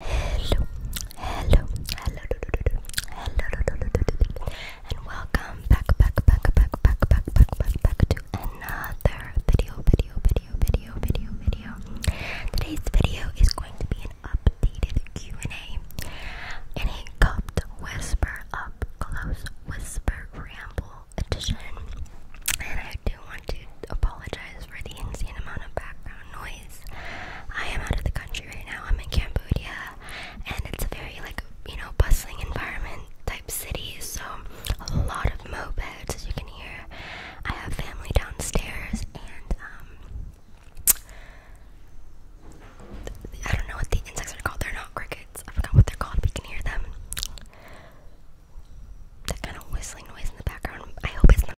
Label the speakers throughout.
Speaker 1: Hello, hello, hello, hello, and welcome back, back, back, back, back, back, back, back, back to another video, video, video, video, video, video. Today's video is going to be an updated Q and A, and a cupped whisper up close whisper ramble edition. And I do want to apologize for the insane amount of background noise. I am out of the country right now. I'm in Cambodia, and it's a very like you know bustling environment type city. So a lot of moped. as you can hear. I have family downstairs, and um, I don't know what the insects are called. They're not crickets. I forgot what they're called. We can hear them. That kind of whistling noise in the background. I hope it's not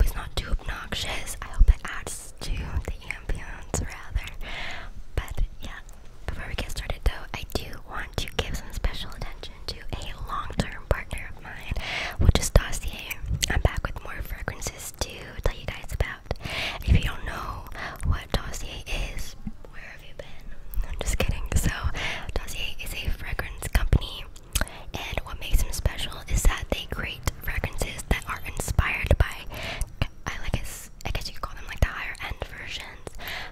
Speaker 1: it's not too obnoxious. I hope it adds to the ambience rather. But yeah, before we get started though, I do want to give some special attention to a long-term partner of mine, which is Dossier. I'm back with more fragrances to tell you guys about. If you don't know what Dossier is, I'm just kidding. So, Dossier is a fragrance company, and what makes them special is that they create fragrances that are inspired by, I guess, I guess you call them like the higher end versions,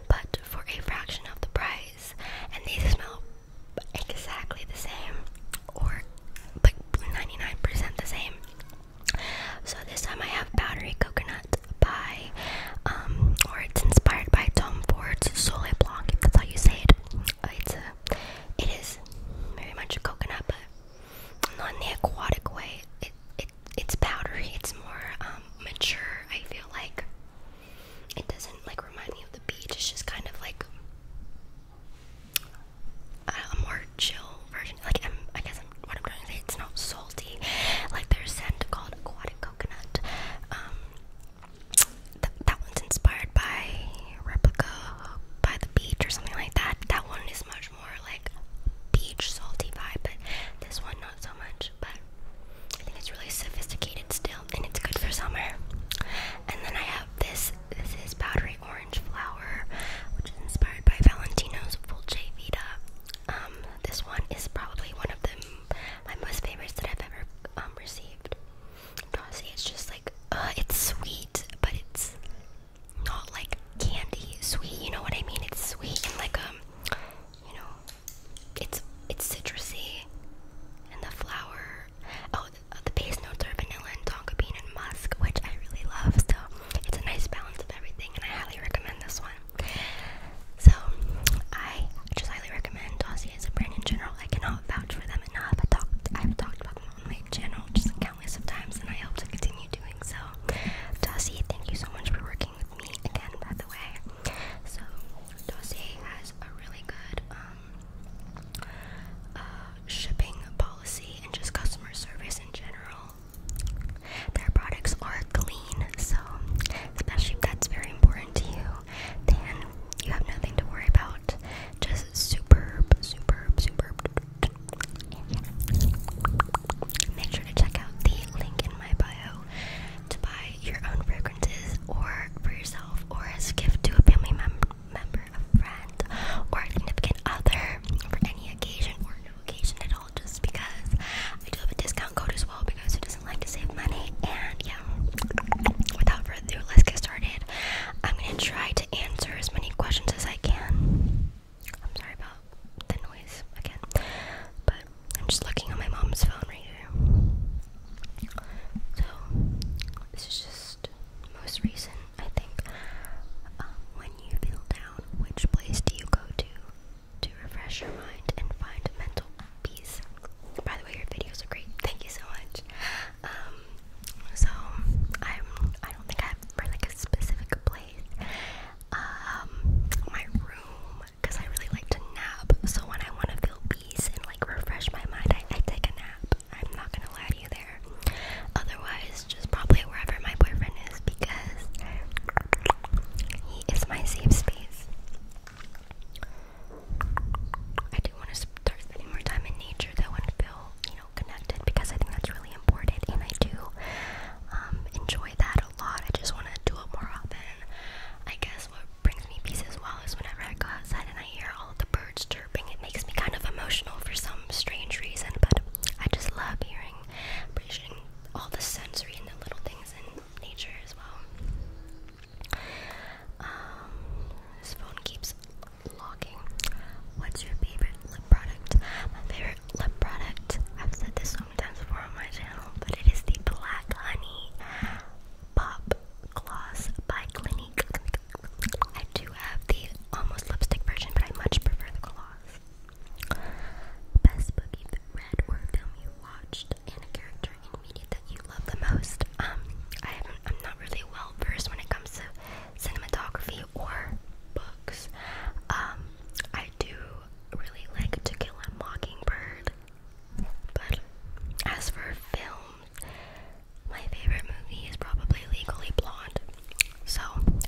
Speaker 1: but for a fraction of the price, and they smell exactly the same, or like 99% the same. So this time I have Battery Coconut by um, or it's inspired by Tom Ford's Soleil Blanc, if that's how you say it. Uh, it's a, it is very much a coconut, but not in the aquatic way. It, it, it's powdery. It's more um, mature. I feel like it doesn't like remind me of the beach. It's just kind of like a, more chill version. Like i guess what I'm trying to say. It's not salty. Like there's scent called aquatic coconut. Um, th that one's inspired by replica by the beach or something like that. That one is much more like beach salty vibe, but this one not so much. But I think it's really sophisticated still, and it's good for summer. And then I have this. This is powdery orange flower, which is inspired by Valentino's J Vita. Um, this one is probably one of the my most favorites that I've ever um, received. Honestly, it's just like uh, it's sweet, but it's not like candy sweet. You know what I mean? It's sweet and like um, you know, it's it's citrusy, and the flower. Oh, the, uh, the base notes are vanilla and tonka bean and musk, which I really love. So it's a nice balance of everything, and I highly recommend this one. So I just highly recommend Dossier as a brand in general. I cannot vouch for them enough. I have talked about them on my channel just countless of times, and I hope to continue doing so. Dossier, thank you so much for working with me again, by the way. So Dossier has a really good um, uh, shipping policy and just customer service in general. Their products are clean, so especially if that's very important to you then you have nothing to worry about. Just superb, superb, superb. Make sure to check out the link in my bio to buy your own fragrances or for yourself or as a gift to a family member, a friend, or a significant other for any occasion or no occasion at all just because I do have a discount code as well because like to save money. And yeah, without further ado, let's get started. I'm gonna try to answer as many questions as I can. I'm sorry about the noise again, but I'm just looking at my mom's phone right here. So this is just most recent, I think. Um, when you feel down, which place do you go to? to refresh your mind and find mental peace. By the way, your videos are great. Thank you so much. Um, so I'm. I i do not think I have like a specific place. Um, my room, cause I really like to nap. So when I want to feel peace and like refresh my mind, I take a nap. I'm not gonna lie to you there. Otherwise, just probably wherever my boyfriend is because he is my safe space. I do want to spend more time in nature though and feel, you know, connected because I think that's really important and I do um, enjoy that a lot. I just want to do it more often. I guess what brings me peace as well is whenever I go outside and I hear all the birds chirping, it makes me kind of emotional for some strange reason, but I just love hearing, appreciating all the sensory and the little things in nature as well. Um, this phone keeps locking. What's your favorite lip product? My favorite lip product, I've said this so many times before on my channel, but it is the Black Honey Pop Gloss by Clinique. I do have the almost lipstick version, but I much prefer the gloss. Best boogie, the red or film you watched and a character in media that you love the most. Um, I haven't, I'm not really well versed when it comes to cinematography or books. Um, I do really like To Kill a Mockingbird, but as for film, my favorite movie is probably Legally Blonde. So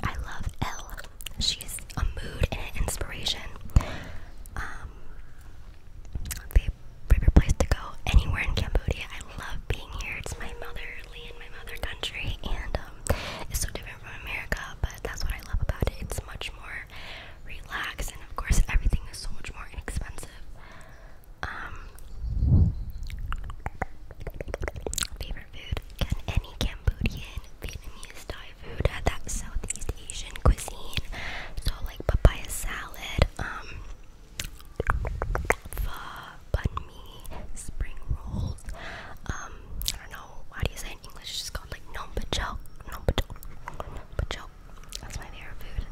Speaker 1: I love Elle. She's a mood and an inspiration. Um, favorite place to go anywhere in Cambodia. I love being here. It's my motherly and my mother country, and um, it's so different from America. But that's what I love about it. It's much more relaxed, and of course, everything is so much more inexpensive. Um, favorite food? Can any Cambodian Vietnamese Thai food had that Southeast Asian cuisine. So like papaya salad, um pho, bun mi, spring rolls, um, I don't know, how do you say in English? It's just called like nom pachok, nom That's my favorite food.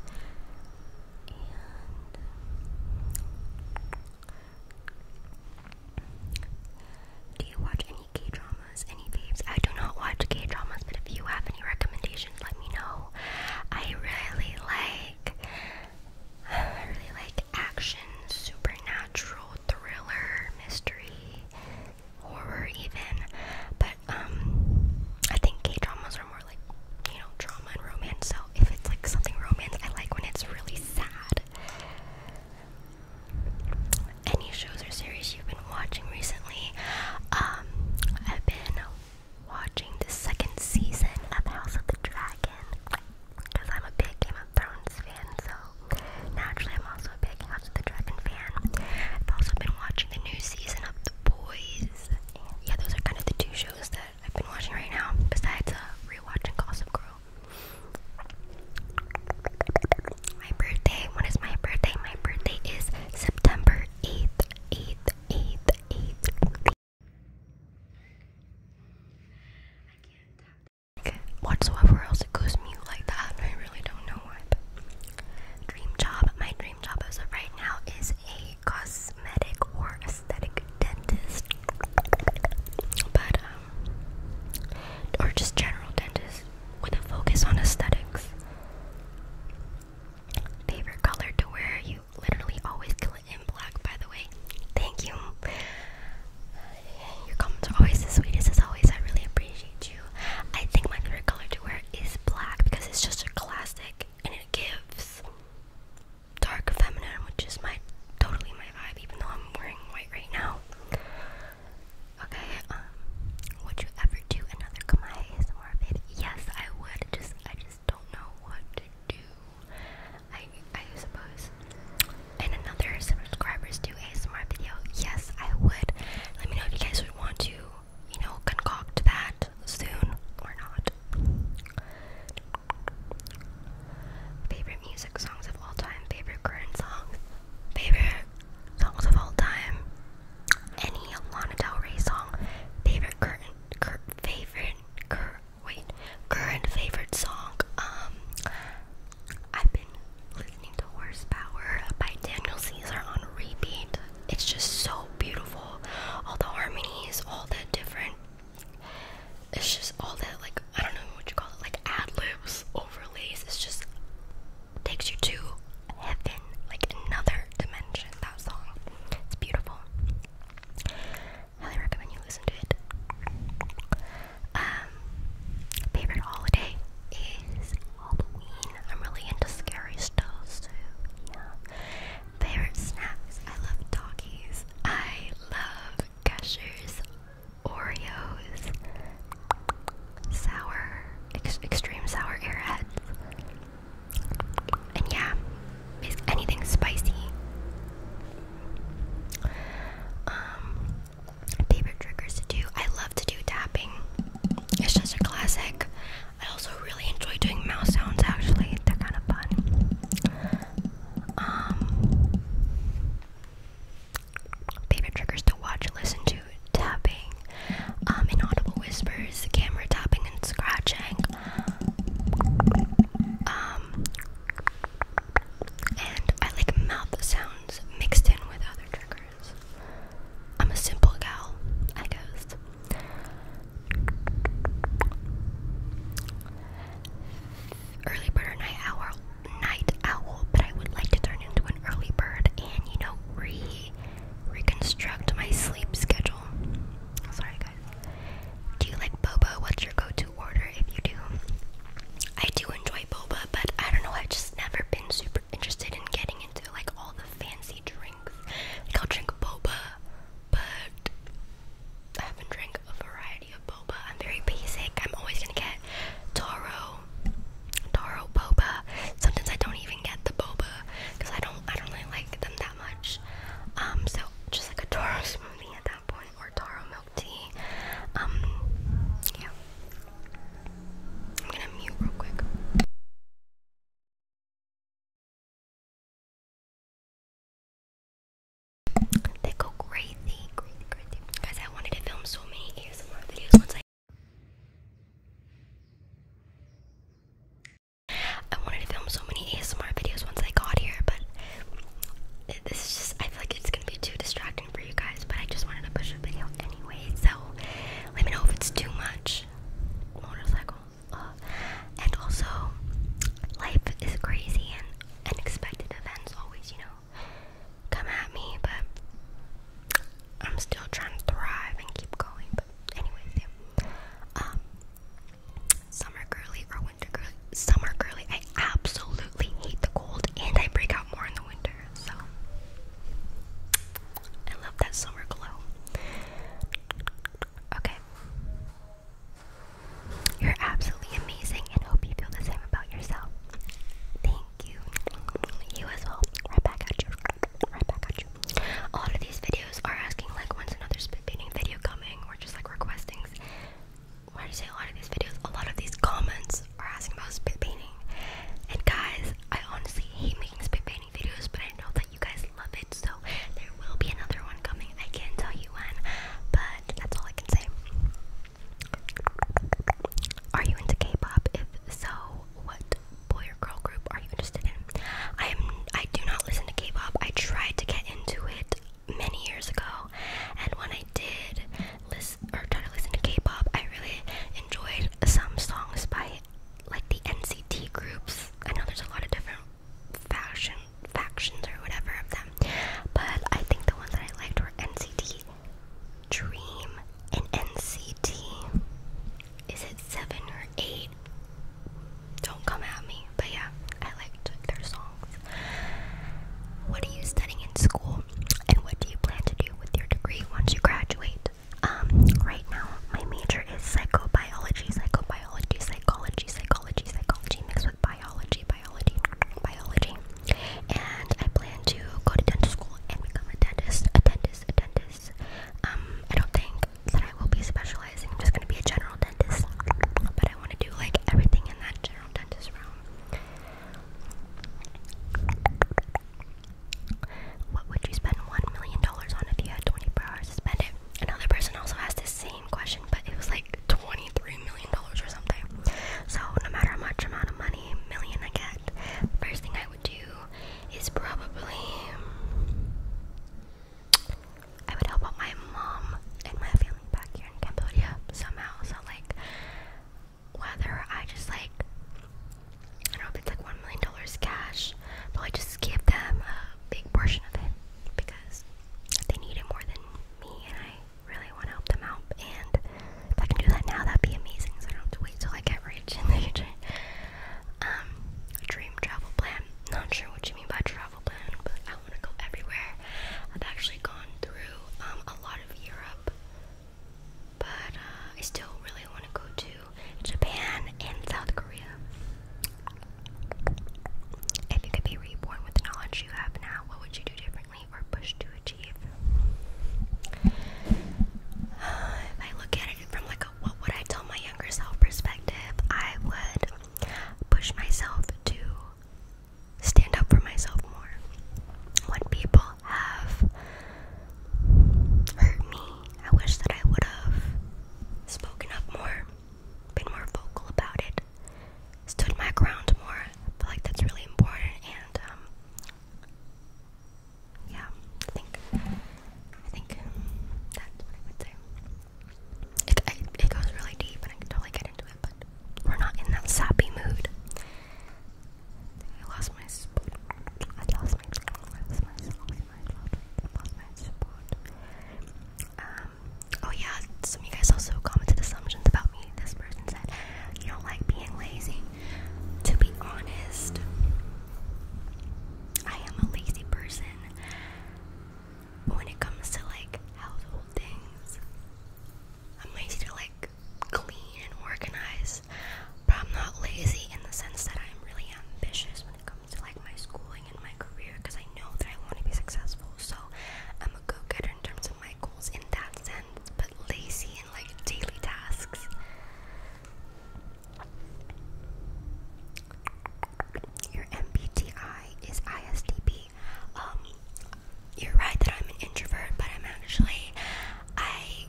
Speaker 1: do you watch any K dramas? any babes. I do not watch gay dramas, but if you have any recommendations, let me know. I really like, really like action, supernatural, thriller, mystery, horror, even. But um, I think gay dramas are more like you know drama and romance. So if it's like something romance, I like when it's really sad any shows or series you've been watching recently. Um, I've been watching the second season of House of the Dragon because I'm a big Game of Thrones fan, so naturally I'm also a big House of the Dragon fan. I've also been watching the new season of The Boys. yeah, those are kind of the two shows that I've been watching right now, besides uh, rewatching Gossip Girl my birthday. When is my birthday? My birthday is September 8th, 8th, 8th, 8th. whatsoever else it goes mute like that. I really don't know why. dream job. My dream job as of right now is a cosmetic or aesthetic dentist. But um or just general dentist with a focus on aesthetics. Favorite color to wear? You literally always kill it in black, by the way. Thank you. your comments are always the sweetest, as always. I really appreciate you. I think my favorite color to wear is black because it's just a classic and it gives dark feminine, which is my totally my vibe, even though I'm wearing white right now. Okay, um, would you ever do another Kamaya ASMR video? Yes, I would. Just I just don't know what to do. I I suppose. And another subscribers do a smart video. Yes, I would. Let me know if you guys would want to, you know, concoct that soon or not. Favorite music songs of all time, favorite current songs, favorite songs of all time any Lana Del Rey song, favorite current, favorite, cur wait, current favorite song. Um, I've been listening to Horsepower by Daniel Caesar on repeat. It's just so beautiful. All the harmonies, all that different. It's just all that like I don't know what you call it, like ad libs, overlays. It just takes you to heaven, like another dimension. That song, it's beautiful. Highly recommend you listen to it. Um, favorite holiday is Halloween. I'm really into scary stuff, so yeah. Favorite snacks? I love doggies. I love gushers, Oreos sour, extreme sour airheads. And yeah, anything spicy. Um, favorite triggers to do. I love to do tapping. It's just a classic. I also really enjoy doing mouse sounds actually. They're kind of fun. Um, favorite triggers to watch, listen to, tapping, um, inaudible whispers, camera tapping and scratching, um, and I like mouth sounds mixed in with other triggers. I'm a simple gal, I guess. Early bird or night owl, night owl, but I would like to turn into an early bird and you know read reconstruct my sleep schedule. Sorry, guys. Do you like boba? What's your go-to order if you do? I do enjoy boba, but I don't know. I've just never been super interested in getting into like all the fancy drinks. Like I'll drink boba, but I haven't drank a variety of boba. I'm very basic. I'm always gonna get Toro taro boba. Sometimes I don't even get the boba because I don't I don't really like them that much. Um, so just like a taro smoothie at that point or taro milk tea. Um, yeah. I'm gonna mute real quick. They go crazy, crazy, crazy. Guys, I wanted to film so many ASMR videos once I I wanted to film so many ASMR videos once I got here, but this is just, I feel like it's gonna be too distracting for you guys, but I just wanted to push a video anyway, so let me know if it's too much. Motorcycle. Uh, and also, life is crazy and unexpected events always, you know, come at me, but I'm still trying to thrive and keep going, but anyways, yeah. Um, summer girly or winter girly? Summer girly. I absolutely hate the cold, and I break out more in the winter. So I love that summer glow. Okay. You're absolutely amazing and hope you feel the same about yourself. Thank you. You as well. Right back at you. Right back at you. A lot of these videos are asking like when's another spit painting video coming or just like requesting. Why do you say a lot of these videos? A lot of these comments are asking about spit painting. And guys, I honestly hate making spit painting videos, but I know that you guys love it, so there will be another one coming. I can't tell you when, but that's all I can say. Are you into K-pop? If so, what boy or girl group are you interested in? I am. I do not listen to K-pop. I tried to get into it many years ago, and when I did listen or try to listen to K-pop, I really enjoyed some songs by like the NCT groups. I know there's a lot of different fashion factions or whatever of them, but I think the ones that I liked were NCT Dream in NCT. Is it seven or eight? Don't come at me. But yeah, I liked their songs. What are you studying in school? And what do you plan to do with your degree once you graduate? Um, right now, my major is psychobiology, psychobiology, psychology, psychology, psychology, mixed with biology, biology, biology. And I plan to go to dental school and become a dentist, a dentist dentist, a dentist. Um, I don't think that I will be specializing. I'm just gonna be a general dentist, but I want to do like everything in that general dentist realm. What would you spend one million dollars on if you had 24 hours to spend it? Another person also asked the same question, but it was like 23 million dollars or something. So no matter how much amount of money million I get, first thing I would do is probably I would help out my mom and my family back here in Cambodia somehow. So like whether I just like I don't know if it's like one million dollars cash, but I just give them a big portion of it because they need it more than me and I really want to help them out and if I can do that now, that'd be amazing so I don't have to wait till I get rich in the future. Um, dream travel plan. Not sure what you mean by travel plan, but I want to go everywhere. I've actually gone through um, a lot of Europe, but uh, I still really want to go to Japan and South Korea. If you could be reborn with the knowledge you have now, what would you do differently or push to if I look at it from like what would I tell my younger self perspective, I would push myself to stand up for myself more. When people have hurt me, I wish that I would have spoken up more, been more vocal about it, stood my ground more. I feel like that's really important and um, yeah, I think I think um, that's would say. It goes really deep, and I totally get into it, but we're not in that sappy mood. I lost my spot. I lost my I lost my spot. I lost my spot. Um. Oh yeah, some of you guys also commented assumptions about me. This person said you don't like being lazy. To be honest, I am a lazy person when it comes to like household things. I'm lazy to like clean and organize, but I'm not lazy in the sense that I'm really ambitious when it comes to like my schooling and my career because I know that I want to be successful. So I'm a go getter in terms of my goals in that sense, but lazy like daily tasks. Your MBTI is ISTP. Um, you're right that I'm an introvert, but I'm actually I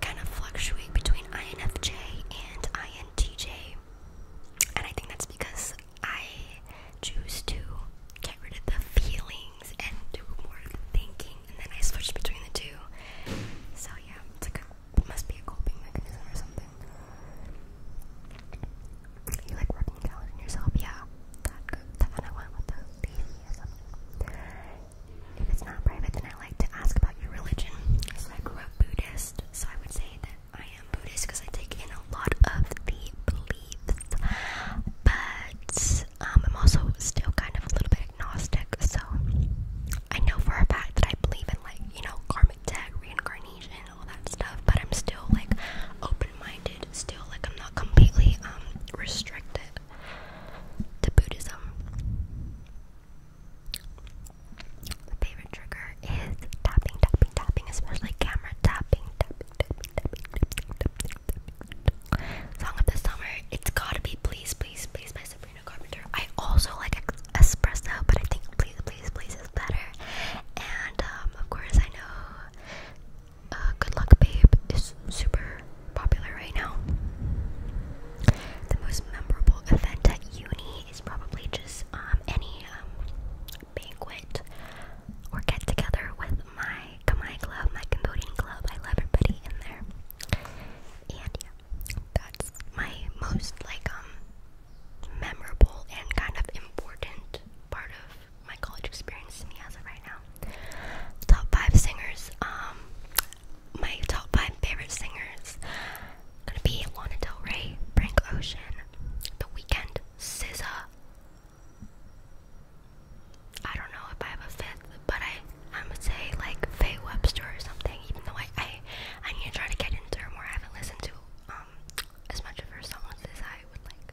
Speaker 1: kind of fluctuate between INFJ and INTJ, and I think that's because I choose to get rid of the feeling and do more thinking, and then I switched between the two. So yeah, it must be a coping mechanism or something. You like working out on yourself, yeah. That one I went with the If it's not private, then I like to ask about your religion. So I grew up Buddhist, so I would say that I am Buddhist because I take in a lot of the beliefs, but um, I'm also still kind of a little bit agnostic, so I know for a fact that I believe in like, you know, karma, debt, reincarnation, all that stuff, but I'm still like open minded, still like I'm not completely um, restricted to Buddhism. My favorite trigger is tapping, tapping, tapping, especially camera tapping, Song of the summer. It's gotta be Please, Please, Please by Sabrina Carpenter. I also like espresso, but I think Please, Please, Please is better. And um, of course, I know uh, Good Luck Babe is super popular right now. The most memorable event at uni is probably just um, any um, banquet or get together with my Kamai Club, my Cambodian club. I love everybody in there. And yeah, that's my most like um memorable and kind of important part of my college experience to me as of right now. Top five singers. Um, my top five favorite singers gonna be Lana Del Rey, Frank Ocean, The Weekend, SZA. I don't know if I have a fifth, but I I'm say like Faye Webster or something. Even though I I I need to try to get into her more. I haven't listened to um as much of her songs as I would like.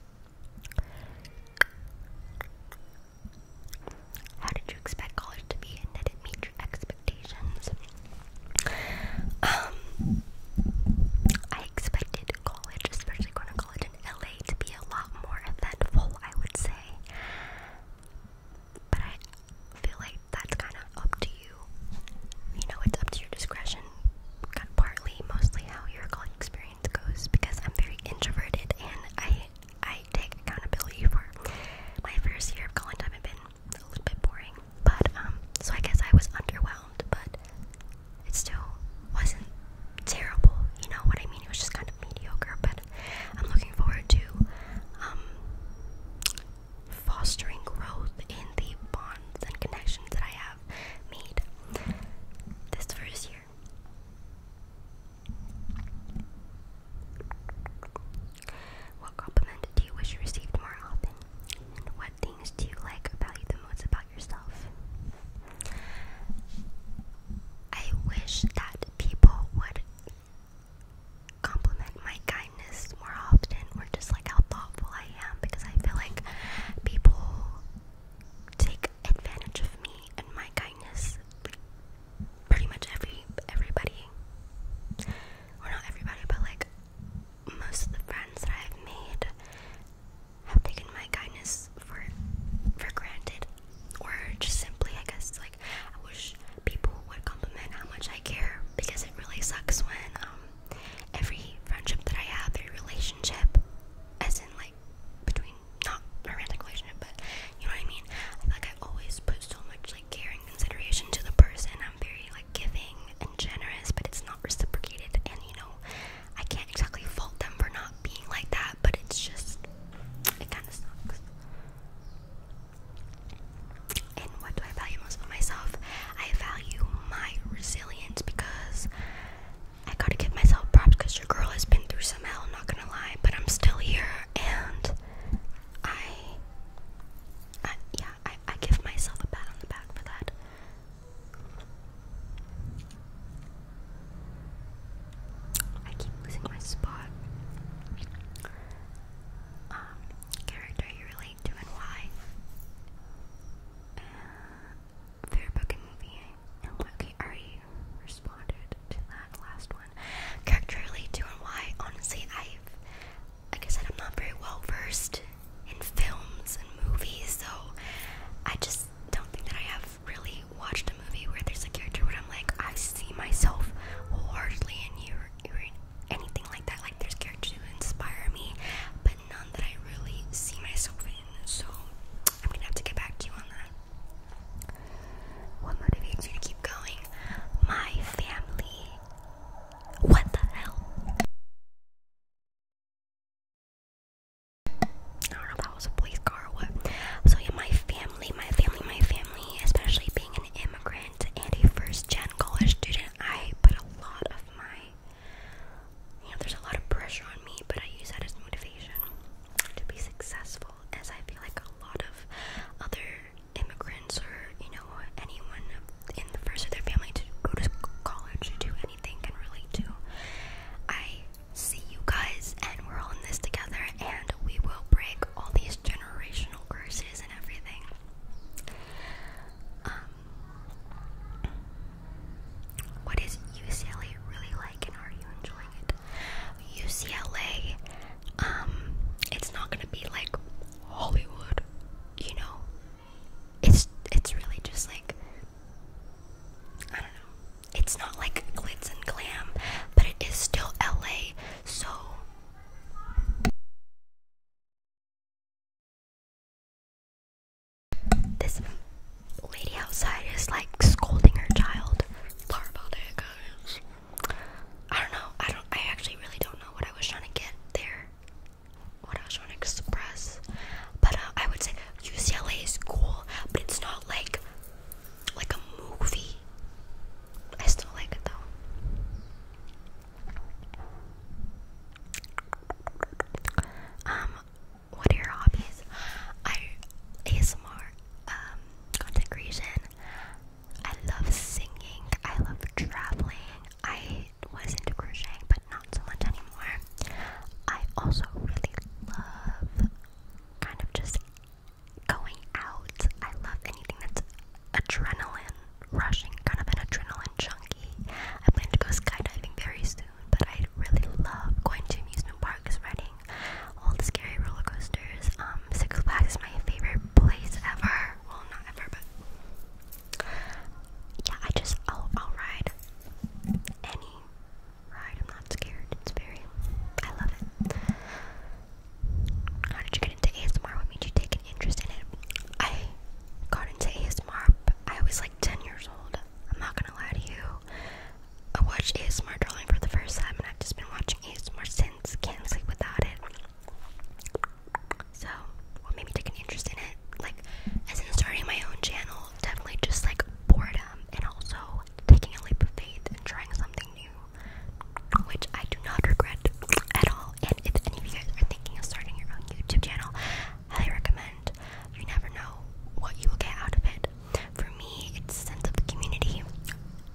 Speaker 1: How did you expect college to be, and did it meet your expectations? Um, I expected college, especially going to college in LA, to be a lot more eventful, I would say. But I feel like that's kind of up to you. You know, it's up to your discretion, partly, mostly how your college experience goes. Because I'm very introverted, and I I take accountability for my first year of college. i has been a little bit boring, but um, so I guess I was underwhelmed, but it still wasn't terrible. You know what I mean? It was just kind of mediocre, but I'm looking forward to um, fostering growth in the bonds and connections that I have made this first year. What compliment do you wish received more often? what things do you like or value the most about yourself? I wish that people would compliment my kindness more often or just like how thoughtful I am because I feel like people take advantage of me and my kindness pretty much every everybody or not everybody but like most of the friends that I've made have taken my kindness for for granted or just simply I guess like I wish people would compliment how much I care because it really sucks when um, every friendship that I have, every relationship, as in like between not a romantic relationship, but you know what I mean. like I always put so much like care and consideration to the person. I'm very like giving and generous, but it's not reciprocated, and you know I can't exactly fault them for not being like that. But it's just it kind of sucks. And what do I value most about myself? I value my resilience because I gotta give myself props because your girl has been through some hell, not gonna lie, but I'm still here and I yeah, I give myself a pat on the back for that. I keep losing my spot. Um, character you relate to and why. Uh, favorite movie. okay, I already responded to that last one. Character you relate to and why. Honestly, I've, like I said, I'm not very well versed in films and movies, so I just don't think that I have i really watched a movie where there's a character where I'm like, I see myself hardly in you or, anything like that. Like there's characters who inspire me, but none that I really see myself in. So I'm gonna have to get back to you on that. What motivates you to keep going? My family. What the hell? that was a police car or what. So yeah, my family, my family, my family, especially being an immigrant and a first-gen college student, I put a lot of my, you know, there's a lot of pressure on me, but I use that as motivation to be successful, as I feel like a lot of other immigrants or you know anyone in the first of their family to go to college to do anything can relate to. I see you guys, and we're all in this together, and we will break all these generational curses and everything. Um, what is UCLA really like, and are you enjoying it? UCLA, um, it's not gonna be like Hollywood, you know. It's it's really just like I don't know it's not like glitz and glam, but it is still LA, so. This lady outside is like scolding her child. Sorry about guys. I don't know. I don't. I actually really don't know what I was trying to get there. What I was trying to express. But uh, I would say UCLA is cool, but it's not like like a movie. I still like it though. Um, what are your hobbies? I ASMR, um, content I love singing. I love traveling. I was into crocheting, but not so much anymore. I also really love kind of just going out. I love anything that's adrenaline rushing, kind of an adrenaline junkie. I plan to go skydiving very soon, but I really love going to amusement parks, riding all the scary roller coasters. Um, Six Flags is my favorite place ever. Well, not ever, but yeah, I just I'll, I'll ride any ride. I'm not scared. It's very, I love it. How did you get into ASMR? What made you take an interest in it? I got into ASMR. I was like 10 years old. I'm not gonna lie to you. I watched ASMR Darling for the first time, and I've just been watching ASMR since. Can't sleep without it. So, what made me take an interest in it? Like, as in starting my own channel, definitely just like boredom, and also taking a leap of faith and trying something new, which I do not regret at all. And if any of you guys are thinking of starting your own YouTube channel, highly recommend. You never know what you will get out of it. For me, it's a sense of community,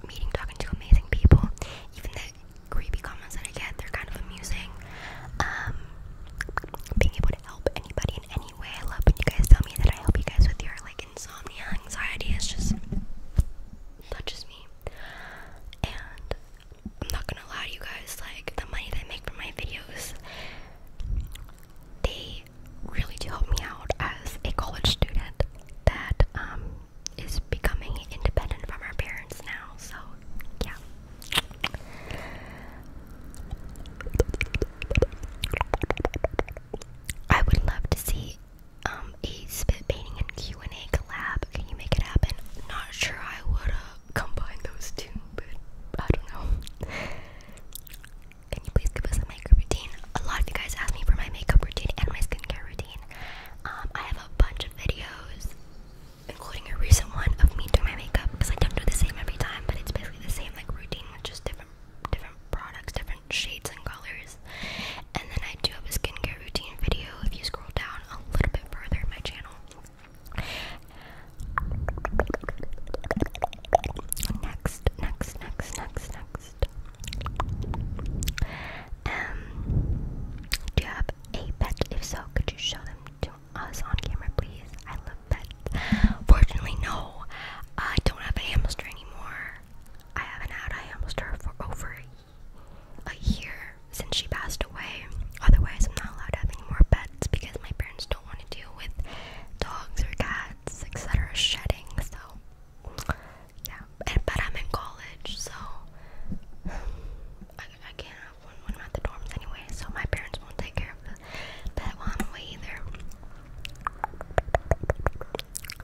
Speaker 1: meeting, talking to amazing people. Even the creepy comments that I get, they're kind of amusing. Um, being able to help anybody in any way. I love when you guys tell me that I help you guys with your like insomnia, anxiety is just touches me. And I'm not gonna lie to you guys, like the money that I make from my videos, they really do help me out as a college student that um, is becoming independent from our parents now, so yeah. I would love to see um, a spit painting and Q and A collab. Can you make it happen? Not sure I would uh, combine those two, but I don't know. Can you please give us a makeup routine? A lot of you guys asked me for my makeup routine and my skincare routine. Um, I have a bunch of videos, including a recent one of me doing my makeup because I don't do the same every time, but it's basically the same like routine with just different different products, different shades and colors. And then I do have a skincare routine video if you scroll down a little bit further in my channel. Next, next, next, next, next. Um, do you have a pet? If so, could you show them to us on camera, please? I love pets. Fortunately, no. I don't have a hamster anymore. I haven't had I almost her for over a, year since she passed away. Otherwise, I'm not allowed to have any more pets because my parents don't want to deal with dogs or cats, etc., shedding. So, yeah. And, but I'm in college, so I, can't have one when I'm at the dorms anyway. So my parents won't take care of the pet one away either.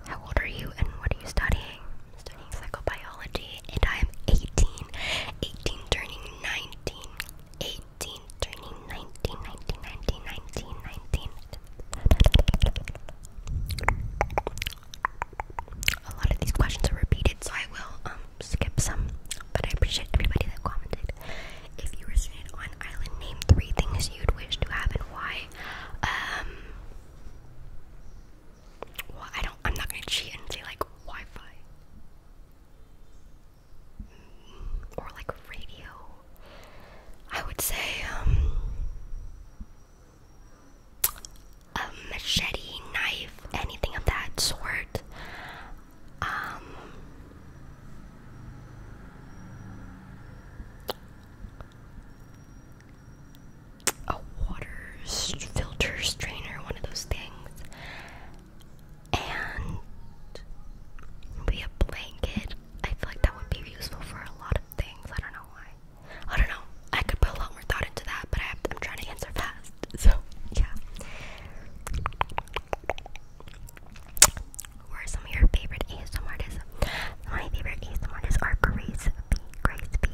Speaker 1: How old are you and what are you studying? I'm studying psychobiology and I am 18. 18 turning 19. 18 turning 19, 19, 19, 19, 19. A lot of these questions are repeated, so I will um skip some. But I appreciate everybody that commented. If you were stranded on an island, name three things you'd wish to have and why. Um, well, I don't I'm not gonna cheat and say like Wi-Fi. Or like radio. I would say um, a machete, knife, anything of that sort. Um, a water filter strainer, one of those things, and maybe a blanket. I feel like that would be useful for a lot of things. I don't know why. I don't know. I could put a lot more thought into that, but I have, I'm trying to answer fast. So, yeah. Who are some of your favorite ASM artists? My favorite ASM artists are Grace B, Grace B,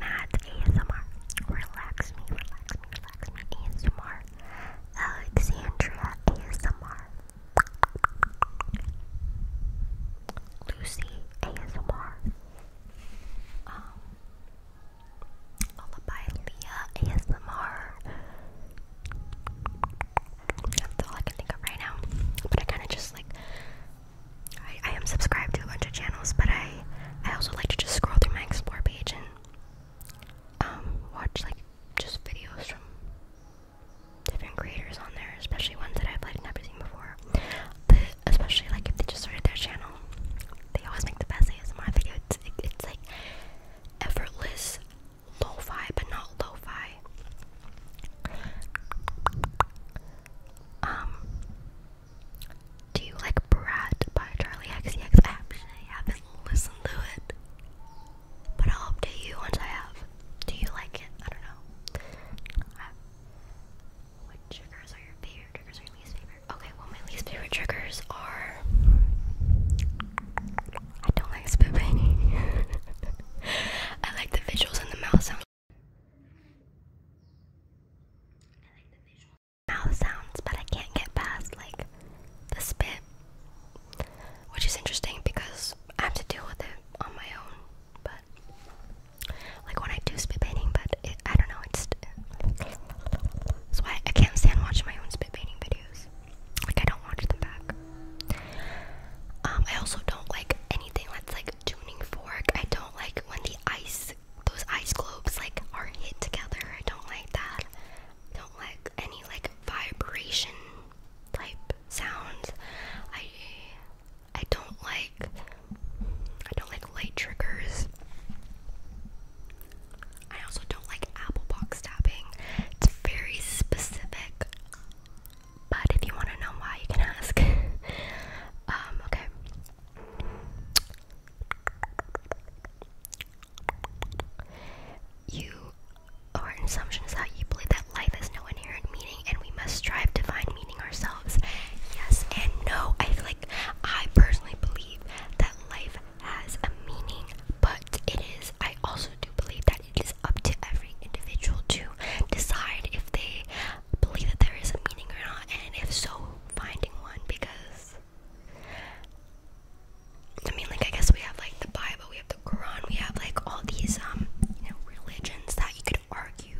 Speaker 1: Matt ASMR, Relax Me, Relax Me, Relax Me ASMR, Alexandria ASMR, Lucy ASMR, um, Lullaby Leah ASMR. That's all I can think of right now. But I kind of just like I, I am subscribed to a bunch of channels, but I I also like to just scroll through my explore page and um watch like just videos from different creators on there, especially ones that I've like never seen before. especially like if they just started their channel, they always make the best ASMR video. it's like effortless lo-fi but not lo-fi. Um do you like Brat by Charlie XCX? I haven't listened to it. But I'll update you once I have. Do you like it? I don't know. what triggers are your favorite? Triggers are your least favorite? Okay, well, my least favorite triggers are. I don't like spit painting. I like the visuals and the mouth sounds. mouth sounds, but I can't get past like the spit. Which is interesting because I have to deal with it on my own. But like when I do spit painting, but I don't know, it's that's why I can't stand watching my own spit painting videos. Like I don't watch them back. Um, I also don't like anything that's like tuning fork. I don't like when the ice those ice globes like are hit together. I don't like that. I don't like any like vibration type sounds. I I don't like I don't like light triggers. I also don't like apple box tapping. It's very specific. But if you want to know why, you can ask. Um, okay. You assumption is that you believe that life has no inherent meaning and we must strive to find meaning ourselves. Yes and no. I feel like I personally believe that life has a meaning, but it is. I also do believe that it is up to every individual to decide if they believe that there is a meaning or not, and if so, finding one because I mean, like, I guess we have like the Bible, we have the Quran, we have like all these, um, you know, religions that you could argue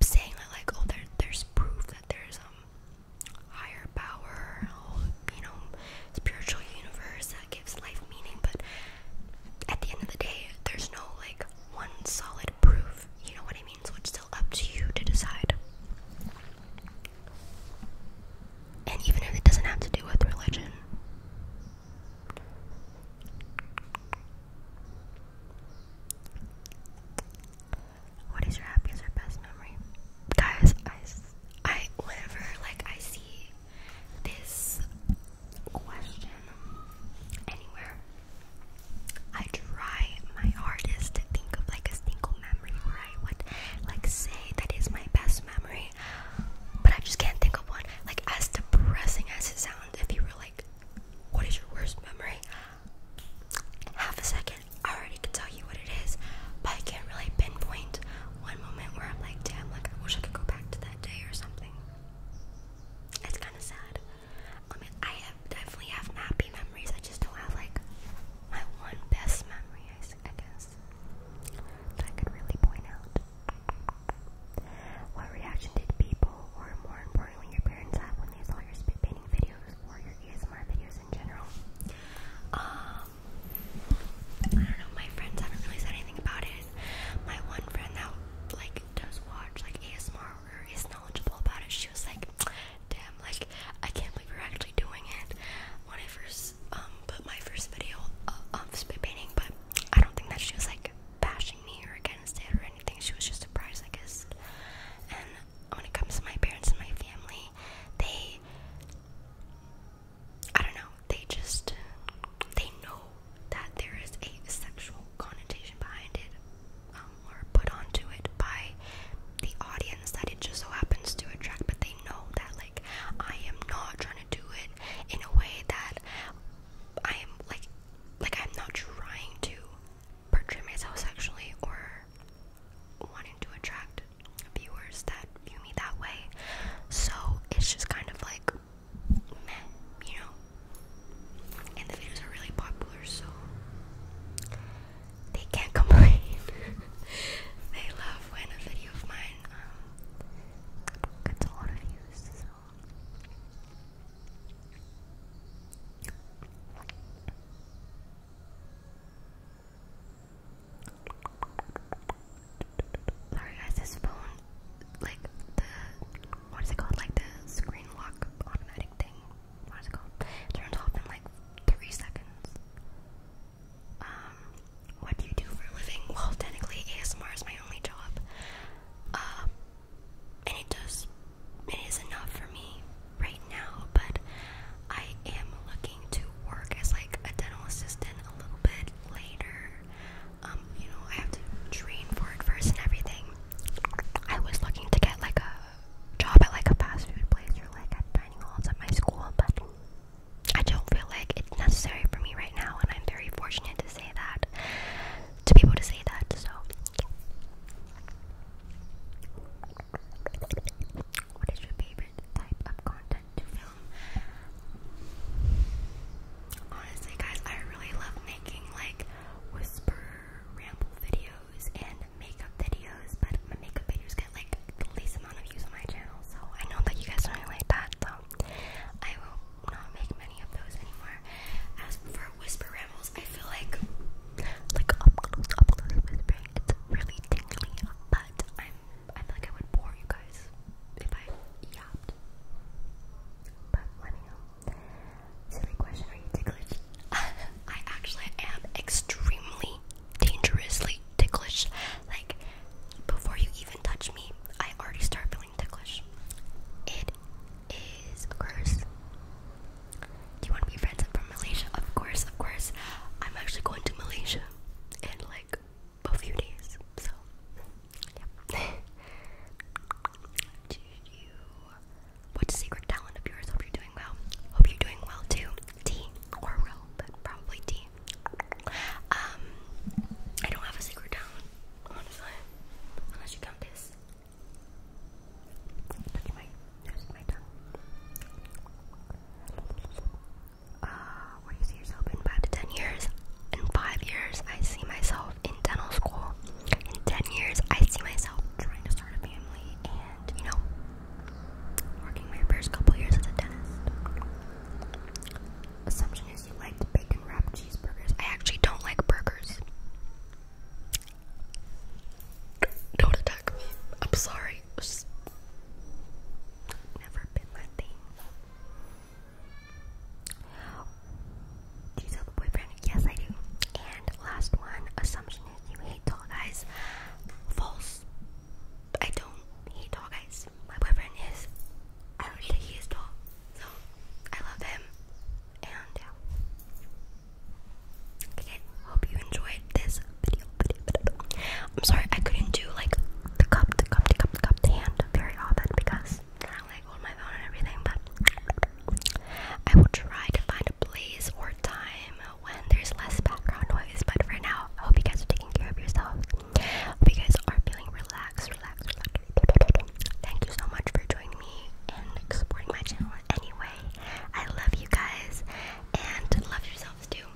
Speaker 1: saying that, like, oh, there, there's proof that there's, um, higher power, you know, spiritual universe that gives life meaning, but at the end of the day, there's no like one solid proof, you know what I mean? So it's still up to you to decide. And even if it doesn't have to do with religion. What is your happiest or best memory? Guys, I, whenever like I see this question anywhere. I try my hardest to think of like a single memory where I would like say that is my best memory, but I just can't think of one. Like as depressing as it sounds, if you were like, "What is your worst memory?" Half a second, I already can tell you what it is, but I can't really pinpoint one moment where I'm like, "Damn, like I wish I could go back to that day or something. It's kind of sad. I mean, I have definitely have happy memories. I just don't have like my one best memory, I guess, that I could really point out. What reaction did people, or more importantly, your parents have when they saw your spit painting videos or your ASMR videos in general? Um, I don't know, my friends haven't really said anything about it. My one friend that like does watch like ASMR or is knowledgeable about it, she was like, damn, like I can't believe you're actually doing it. When I first um put my first video uh, of um, spray painting, but I don't think that she was like bashing me or against it or anything. She was just surprised, I guess. And when it comes to my parents and my family, they I don't know, they just they know that there is a sexual connotation behind it, um, or put onto it by the audience that it just so happens to attract, but they know that like I am not trying to do it in a way that I am like like I'm not trying to portray myself sexually or wanting to attract viewers that view me that way. So it's just kind of like meh, you know. And the videos are really popular, so they can't complain. they love when a video of mine um, gets a lot of views. Sorry guys, this phone, like the, what is it called? Like the screen lock automatic thing. What is it called? turns off in like three seconds. Um, what do you do for a living? Well, technically ASMR is my only job. Um, and it does, it is enough for me right now, but I am looking to work as like a dental assistant a little bit later. Um, you know, I have to train for it first and everything. I was looking to get like a job at like a fast food place or like at dining halls at my school, but I don't feel like it's necessary for me right now, and I'm very fortunate to say that, to people to say that. So, what is your favorite type of content Honestly, guys, I really love making like whisper ramble videos and makeup videos, but my makeup videos get like the least amount of views on my channel, so I know that you guys don't really like that, so I will not make many of those anymore. As for whisper rambles, I feel like like up close, whispering, it's really tingly, but I'm I feel I would bore you guys if I yapped. But let me know. Silly question, are you ticklish? I actually am extremely dangerously ticklish. Like, before you even touch me, I already start feeling ticklish. It is a Do you want to be friends? from Malaysia. Of course, of course. I'm actually going to Malaysia and like a few days. So, yeah. What's a secret talent of yours? Hope you're doing well. Hope you're doing well too. Tea or row, but probably tea. Um, I don't have a secret talent, honestly. Unless you count this. Touch my, touch my tongue uh, where you see yourself in five to ten years. In five years, I see myself in dental school. In ten years, I see myself trying to start a family and, you know, working my first couple years as a dentist. Assumption is you like bacon wrapped cheeseburgers. I actually don't like burgers. Don't attack me. I'm sorry. never been my thing. Do you have a boyfriend? Yes, I do. And last one assumption is you hate tall guys. False. I don't hate tall guys. My boyfriend is, I don't think he is tall. So, I love him. And, Okay, hope you enjoyed this video. I'm sorry I couldn't do like the cup, the cup, the cup, the cup, the hand very often because I like hold my phone and everything, but I will try to find a place or time when there's less background noise. But for now, I hope you guys are taking care of yourselves. Hope you guys are feeling relaxed, relaxed, relaxed. Thank you so much for joining me and supporting my channel anyway. I love you guys and love yourselves too.